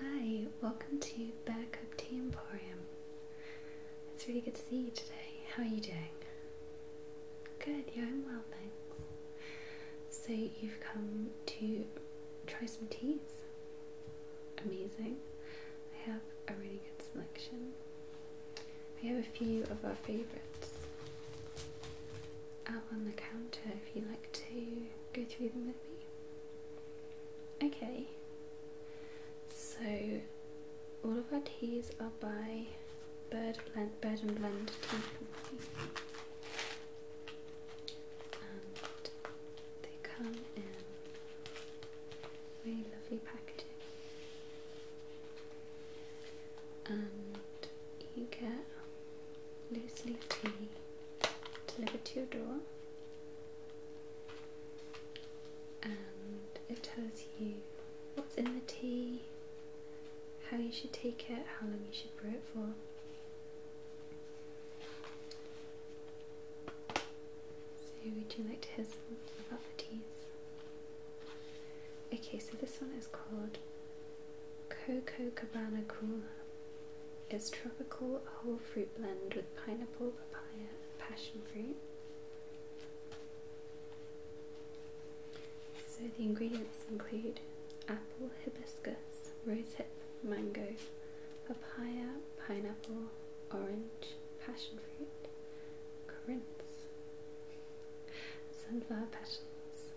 Hi, welcome to Buttercup Tea Emporium. It's really good to see you today. How are you doing? Good, yeah, I'm well, thanks. So, you've come to try some teas? Amazing. I have a really good selection. We have a few of our favourites out on the counter if you'd like to go through them with me. Okay, so all of our teas are by Bird, Blend, Bird and Blend Tea Company. And they come in really lovely packaging. And you get loose leaf tea delivered to your door and it tells you what's in the tea, how you should take it, how long you should brew it for. So would you like to hear some about the teas? Okay, so this one is called Coco Cabana Cola is tropical whole fruit blend with pineapple, papaya, and passion fruit. So the ingredients include apple, hibiscus, rose hip, mango, papaya, pineapple, orange, passion fruit, currants, sunflower petals,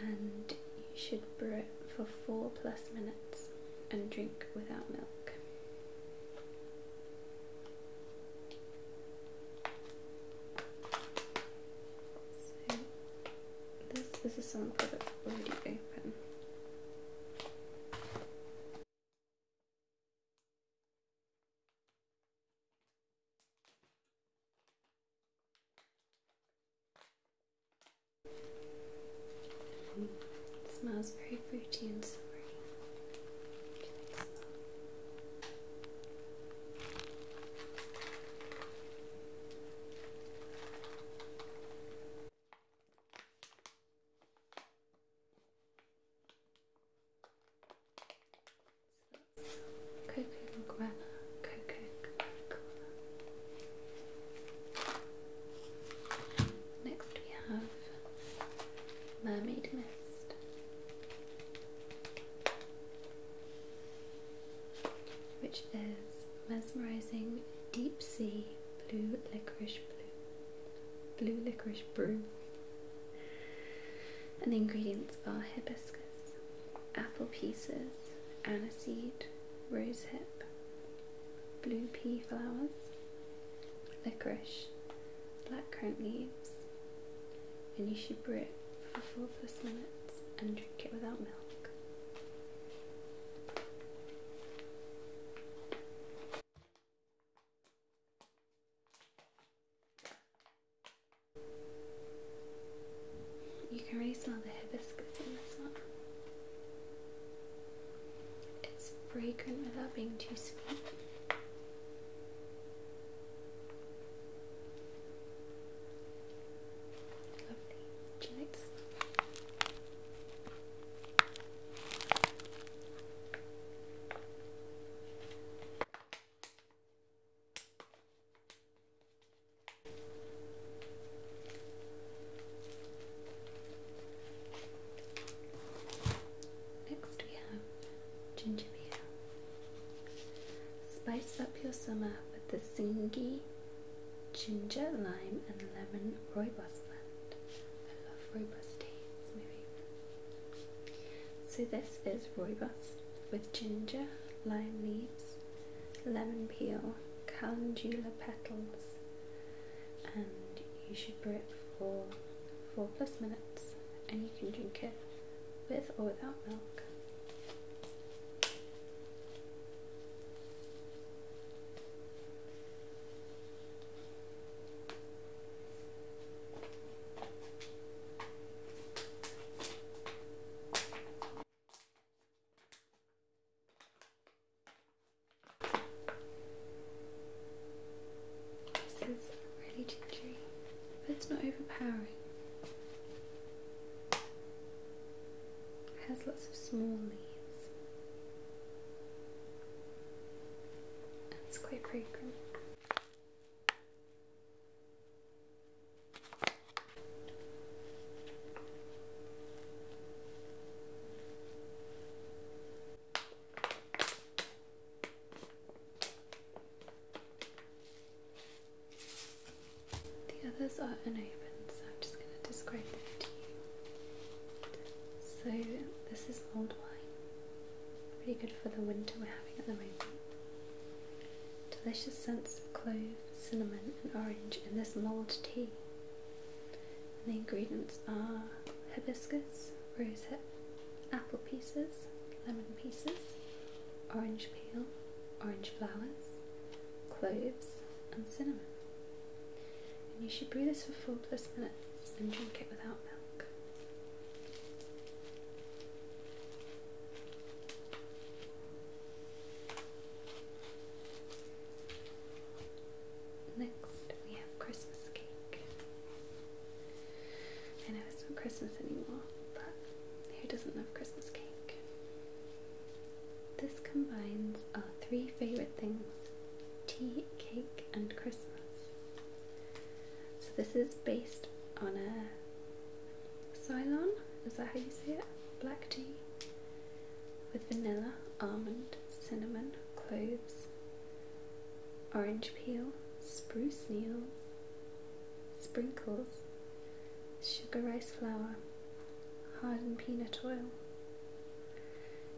and you should brew it for four plus minutes and drink without milk. So, this is a that's already open smells very fruity and summery. Coca-Cola, Coca-Cola. Next we have Mermaid Mist. Which is mesmerizing deep sea blue licorice blue, blue licorice brew. And the ingredients are hibiscus, apple pieces, aniseed, rosehip, blue pea flowers, licorice, black currant leaves, and you should brew it for four plus minutes and drink it without milk. You can really smell the hibiscus in this one. It's fragrant without being too sweet. Lovely. Do Next we have ginger beer. Spice up your summer with the Singi ginger, lime and lemon rooibos blend. I love rooibos tea, So this is rooibos with ginger, lime leaves, lemon peel, calendula petals, and you should brew it for 4 plus minutes and you can drink it with or without milk. This is really gingery, but it's not overpowering. It has lots of small leaves. And it's quite fragrant. The others are unopened, so I'm just going to describe them to you. So, this is mulled wine, pretty good for the winter we're having at the moment. Delicious scents of cloves, cinnamon, and orange in this mulled tea. And the ingredients are hibiscus, rosehip, apple pieces, lemon pieces, orange peel, orange flowers, cloves, and cinnamon. And you should brew this for 4 plus minutes and drink it without milk. Next, we have Christmas cake. I know it's not Christmas anymore, but who doesn't love Christmas cake? This combines our three favourite things tea, cake, and Christmas. So, this is based on a Ceylon, is that how you say it? Black tea with vanilla, almond, cinnamon, cloves, orange peel, spruce needles, sprinkles, sugar rice flour, hardened peanut oil.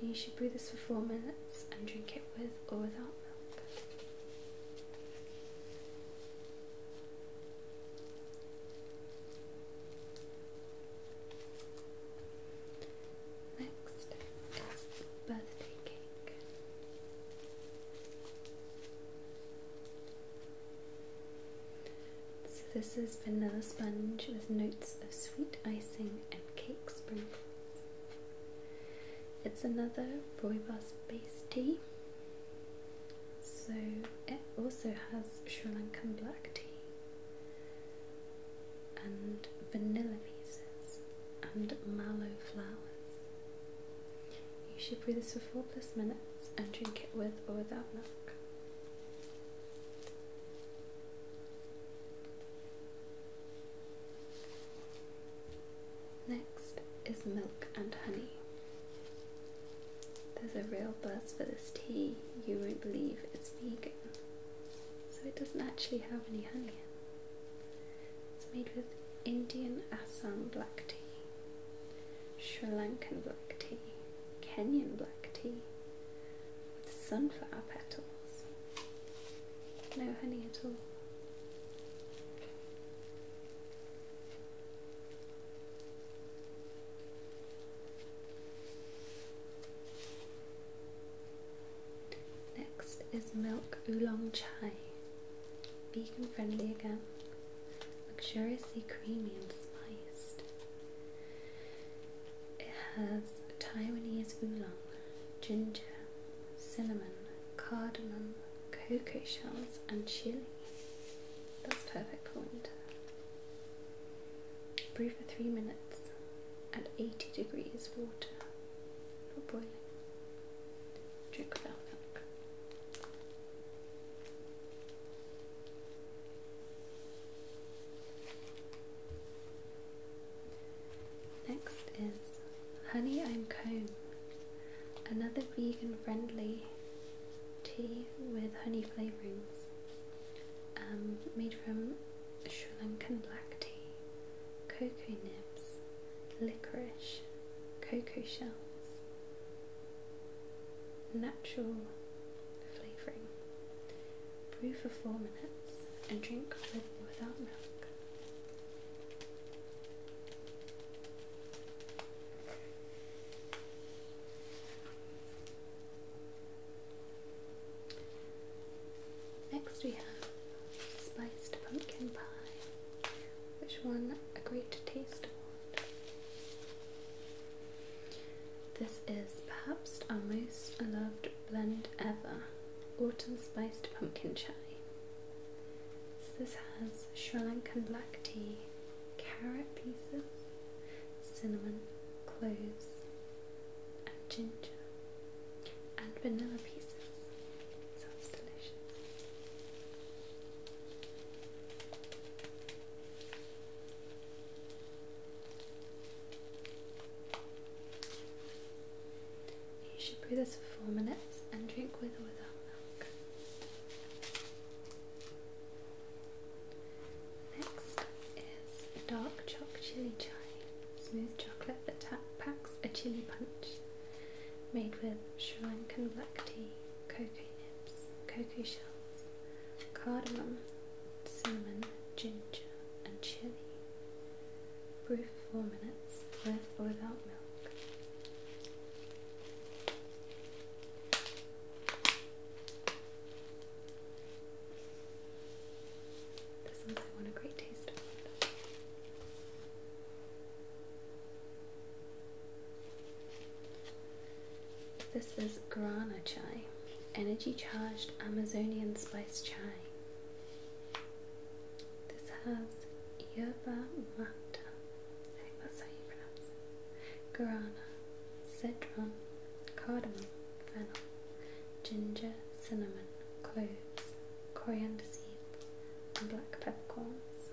you should brew this for four minutes and drink it with or without milk. Next birthday cake. So this is vanilla sponge with notes of sweet icing and cake sprinkles. It's another rooibos based tea so it also has Sri Lankan black tea and vanilla pieces and mallow flowers. You should brew this for 4 plus minutes and drink it with or without milk. Next is milk and honey. There's a real buzz for this tea, you won't believe it's vegan. So it doesn't actually have any honey It's made with Indian Assam black tea, Sri Lankan black tea, Kenyan black tea, with sunflower petals. No honey at all. Next is milk oolong chai. Vegan friendly again, luxuriously creamy and spiced. It has Taiwanese oolong, ginger, cinnamon, cardamom, cocoa shells, and chili. That's perfect Point. Brew for three minutes at 80 degrees water for boiling. Drink without milk. Next is honey and comb Another vegan friendly tea with honey flavourings um, made from Sri Lankan black tea, cocoa nibs, licorice, cocoa shells, natural flavouring. Brew for four minutes and drink with or without milk. Next we have spiced pumpkin pie, which won a to taste award. This is perhaps our most loved blend ever, autumn spiced pumpkin chai. this has Sri Lankan black tea, carrot pieces, cinnamon, cloves, and ginger, and vanilla pieces. Sounds delicious. You should brew this for four minutes and drink with or without milk. Next is dark chocolate chili chai, smooth chocolate that packs a chili punch, made with Sri Lankan black tea, cocoa nibs, cocoa shells, cardamom, cinnamon, ginger, and chili. Brew for four minutes with or without milk. This one's I want a great taste This is Guarana energy charged Amazonian spice chai. This has yerba mata that's how you pronounce it. Guarana, cedron, cardamom, fennel, ginger, cinnamon, cloves, coriander seeds, and black peppercorns.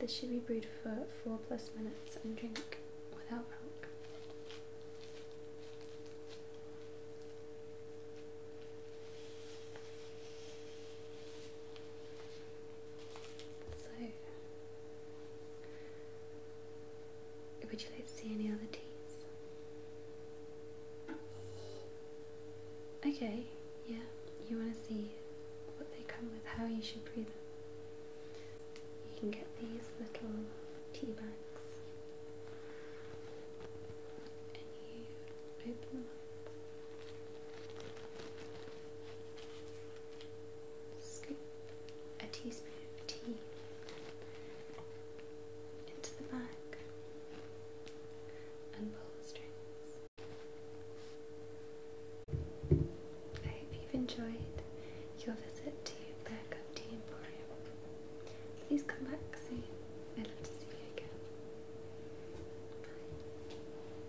This should be brewed for 4 plus minutes and drink without milk. So, would you like to see any other teas? Okay, yeah, you want to see what they come with, how you should brew them. You can get these little tea bags and you open them up scoop a teaspoon of tea into the bag and pull the strings. I hope you've enjoyed your visit to back Bearcup Tea Emporium. Please come back soon. I'd love to see you again. Bye.